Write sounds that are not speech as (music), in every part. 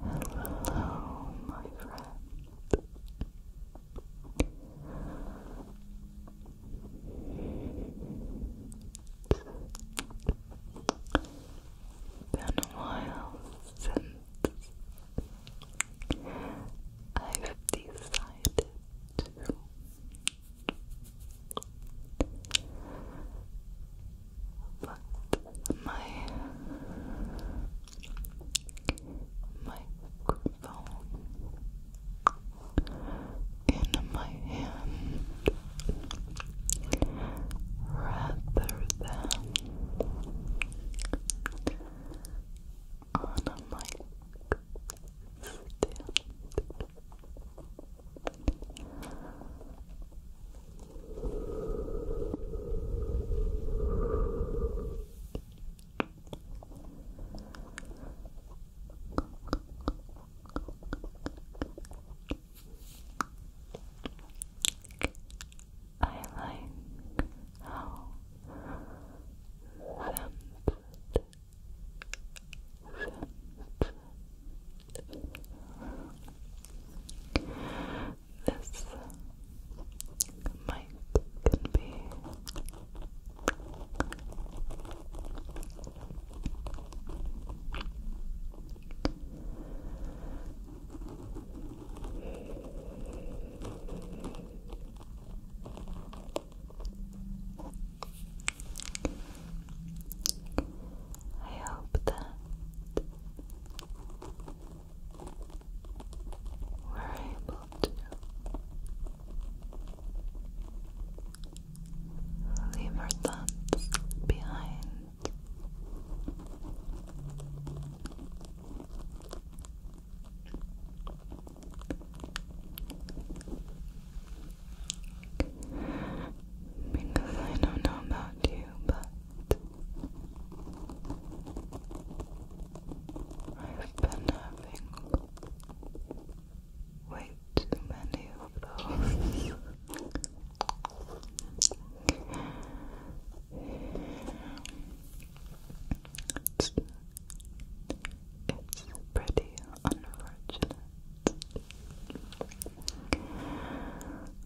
Hello, my friend. Been a while since I've decided to put my microphone in my hand rather than on a mic I like how this mic be I hope that we're able to leave our thoughts behind. Because I don't know about you, but I've been having way too many of those. (laughs) It's, it's pretty unfortunate.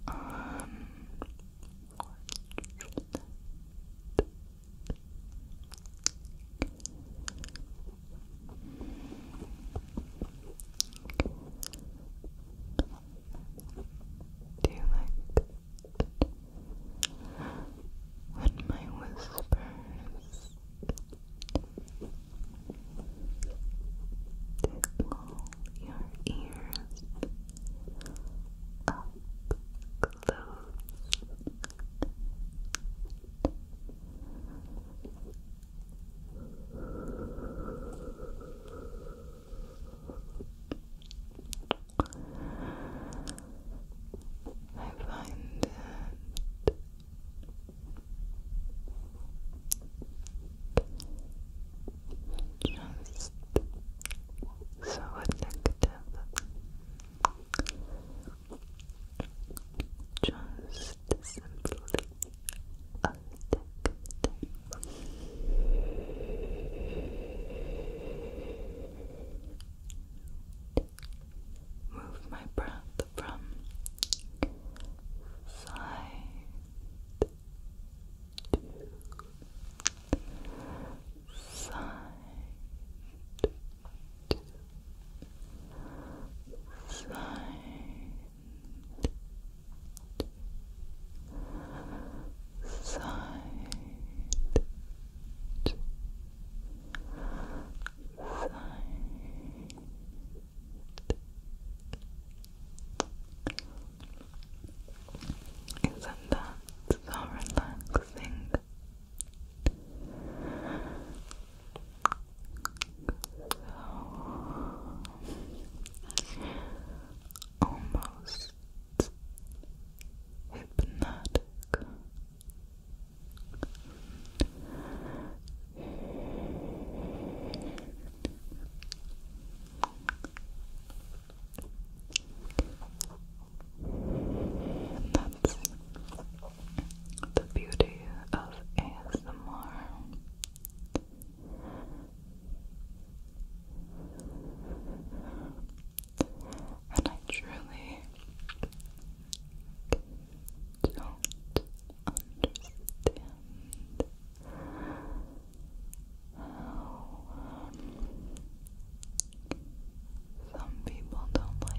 Um, do you like when my whispers tickle your ears up close. I find that just so addictive just simply addictive move my breath from side to side to side. Side side is that so relaxing? almost hypnotic. And that's the beauty of ASMR. And I truly don't understand how some people don't like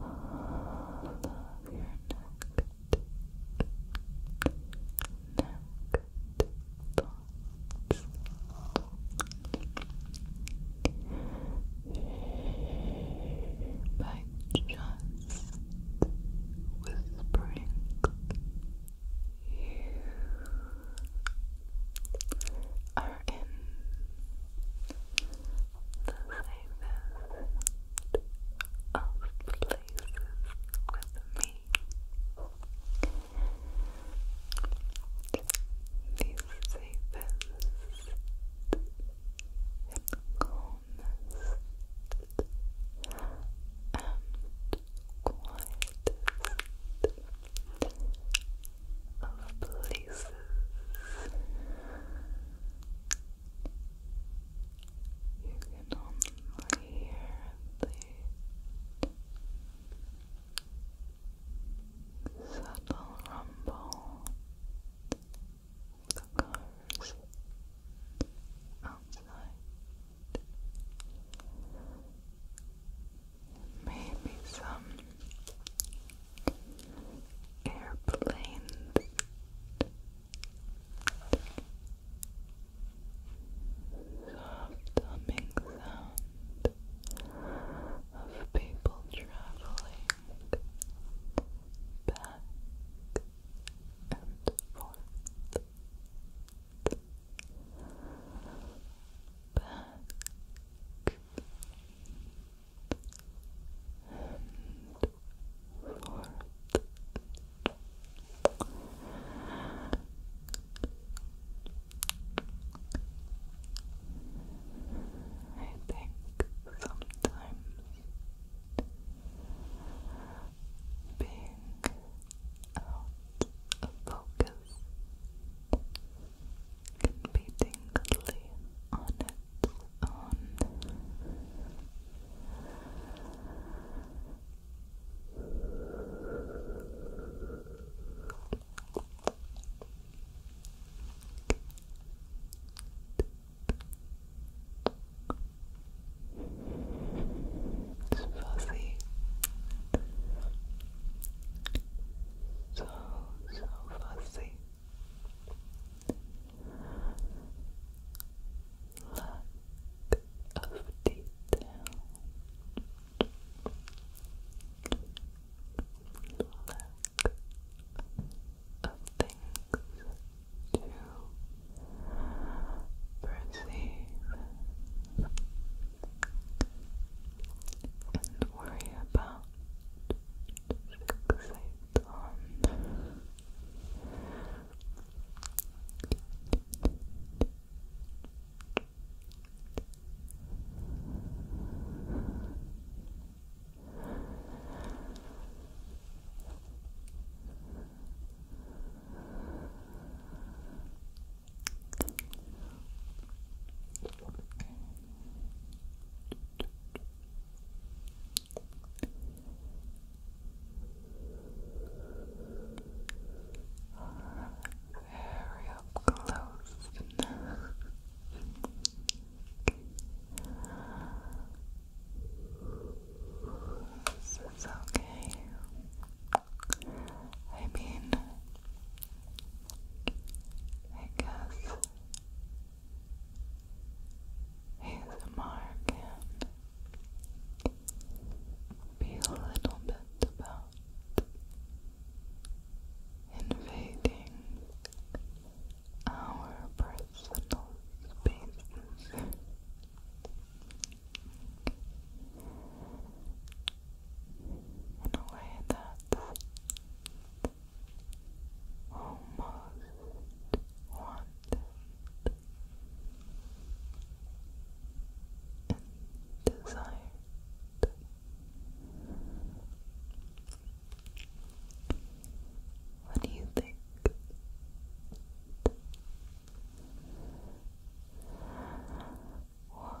all your neck, neck thoughts. By just whispering, you are in the safest of places with me. The safest and calmest and quietest of places. You can only hear the subtle rumble of cars outside. Maybe some airplanes soft humming sound of people traveling back and forth Back and forth. I think sometimes being out of focus can be tingly on its So, so fuzzy. Lack of detail. Lack of things to perceive and worry about fixate on. Very up close. this is okay. I mean, I guess ASMR can be a little bit about invading our personal spaces. In a way that's almost wanted and desired. What do you think? What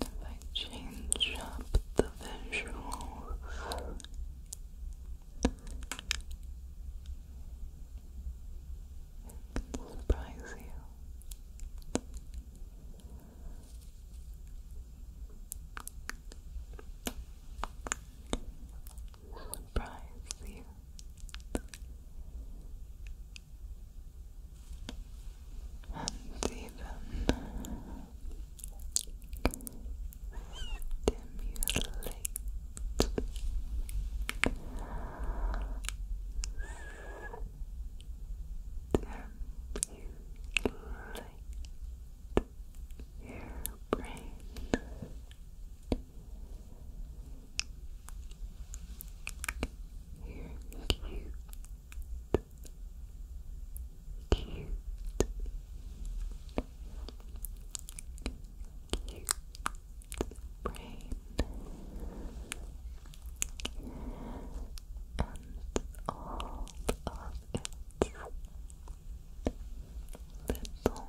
If I change up the visuals, it can surprise you. Surprise you and even stimulate stimulate your brain you cute. Cute. Cute brain. And all of its little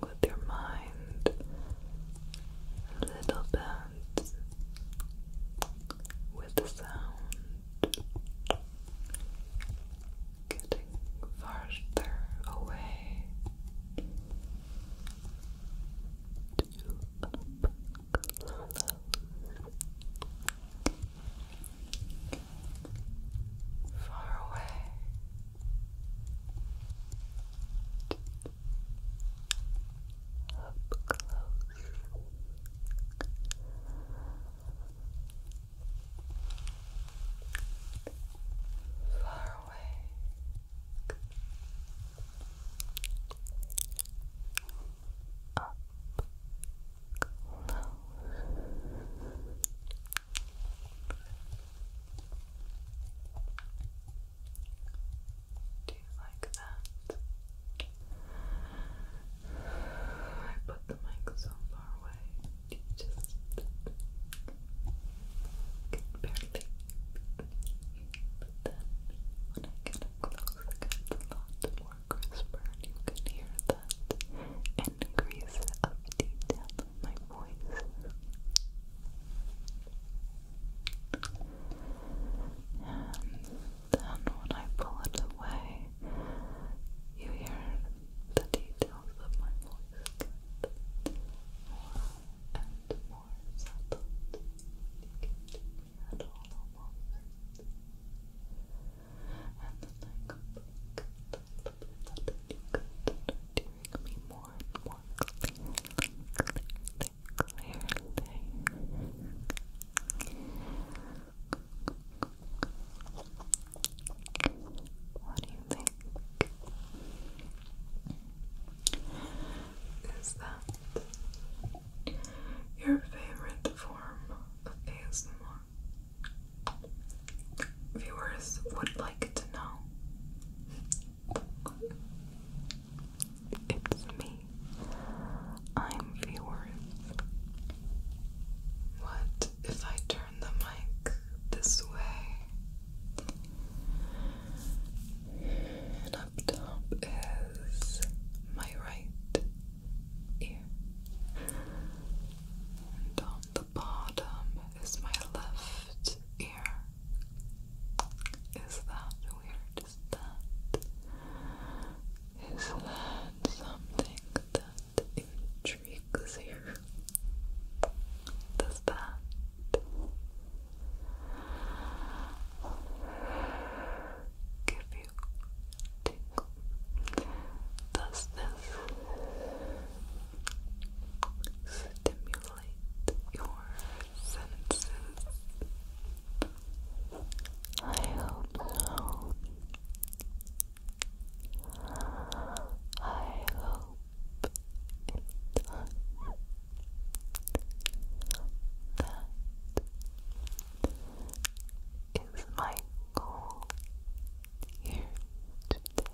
with your mind a little bit with the sound, getting farther away to Far away, up close. Far away. Up close. Do you like that? I put the mic so far away, you just can barely But then, when I get close, it a lot more crisper and you can hear that increase of detail of my voice. And then when I pull it away, you hear the details of my voice more and more settled. And then I come back to the that you could more and more what do you think? Is that your favorite form of ASMR? Viewers would like to know. It's me. I'm viewers. What if I turn the mic this way? And up top is my right ear. And on the bottom is my left ear. Is that weird? Is that is that something that intrigues you? Does that give you tingle? Does this stimulate complete your sentences. I hope so. I hope That is my goal here today.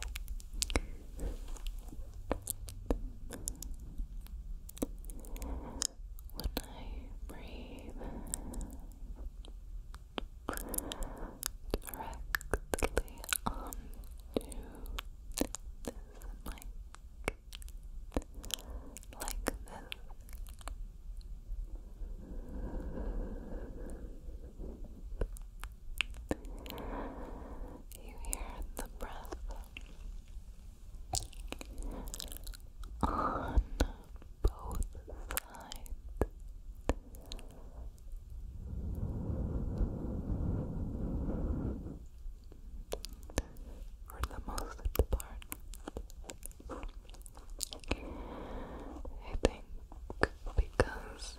When I breathe directly onto this mic like this. You hear the breath on both sides. For the most part, I think because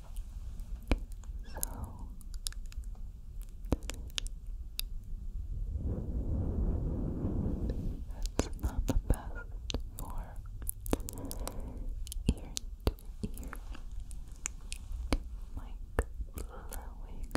So that's not the best for ear to ear mic blowing.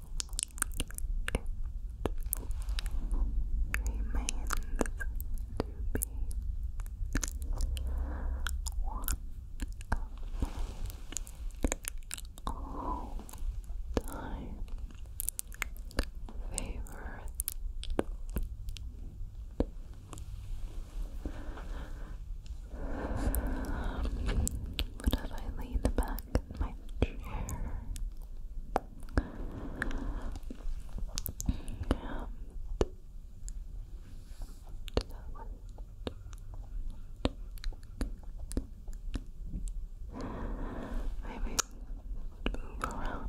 remains to be one of all-time favorite um, but I lean back back in my chair. And move around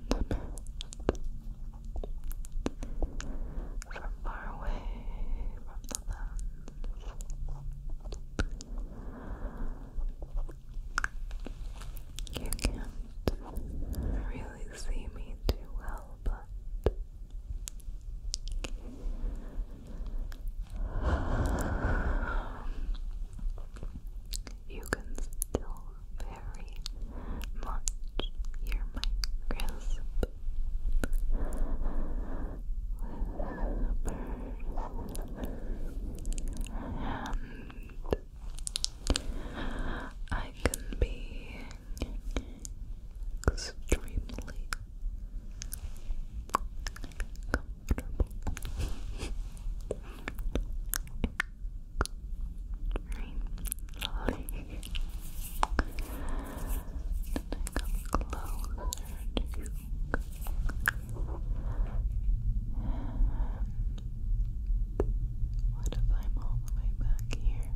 from far away from the you can't really see me too well, but you can still very much hear my crisp whispers and I can be extremely comfortable. (laughs) Extremely. And to you. And what if I'm all the way back here?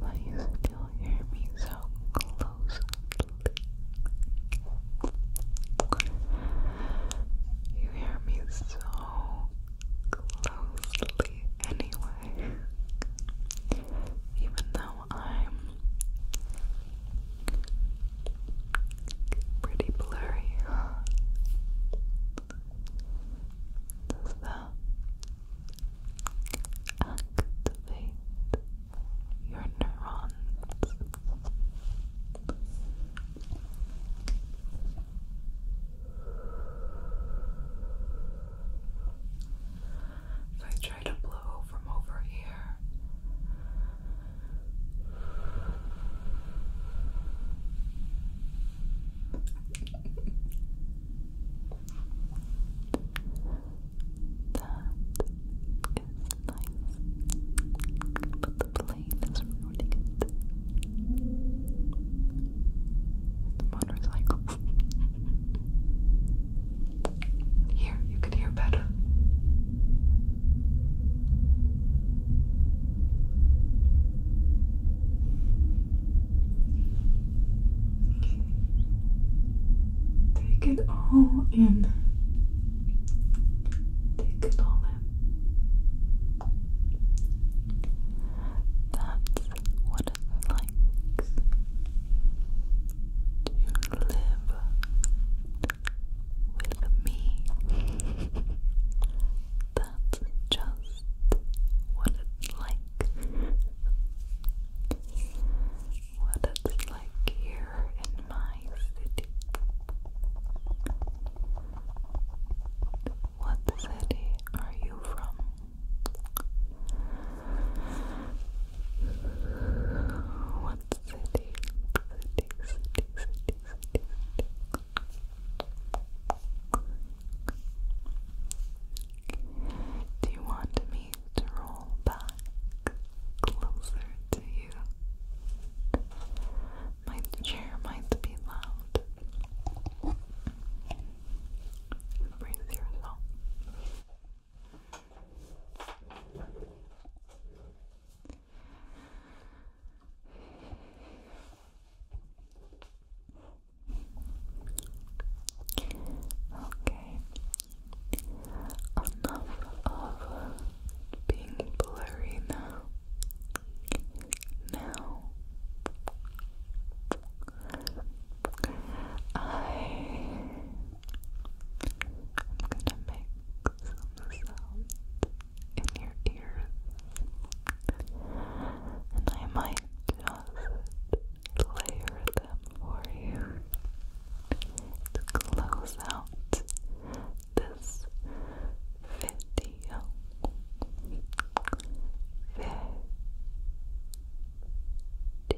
Will you still hear me so closely? You hear me so closely anyway. Even though now I'm pretty blurry. Does that activate your neurons? If I try to blow from over here, that is nice, but the plane is ruining it. It's a motorcycle. (laughs) Here, you can hear better. Take it all in. Take it all in. That's what it likes to live with me. That's just what it's like. What it's like here in my city. What city are you from? What city? Do you want me to roll back closer to you? My chair might be loud. Brace yourself. Okay, enough of being blurry now. Now, I gonna make some sounds in your ears, and I might just layer them for you to close out this video. Video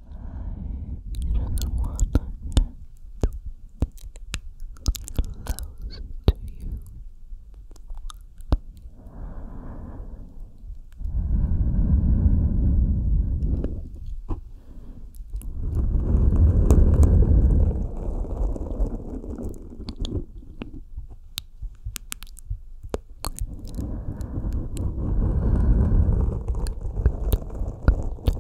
You don't want to get to you.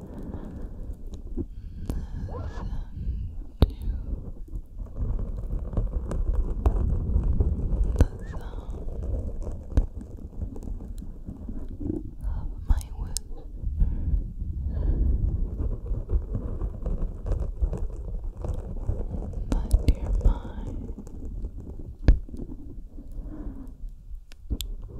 the sound of my whisper. Let your mind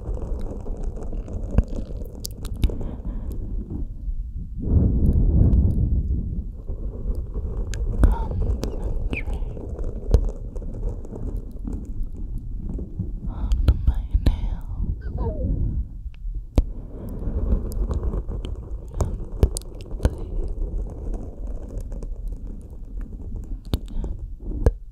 on my nails and they and they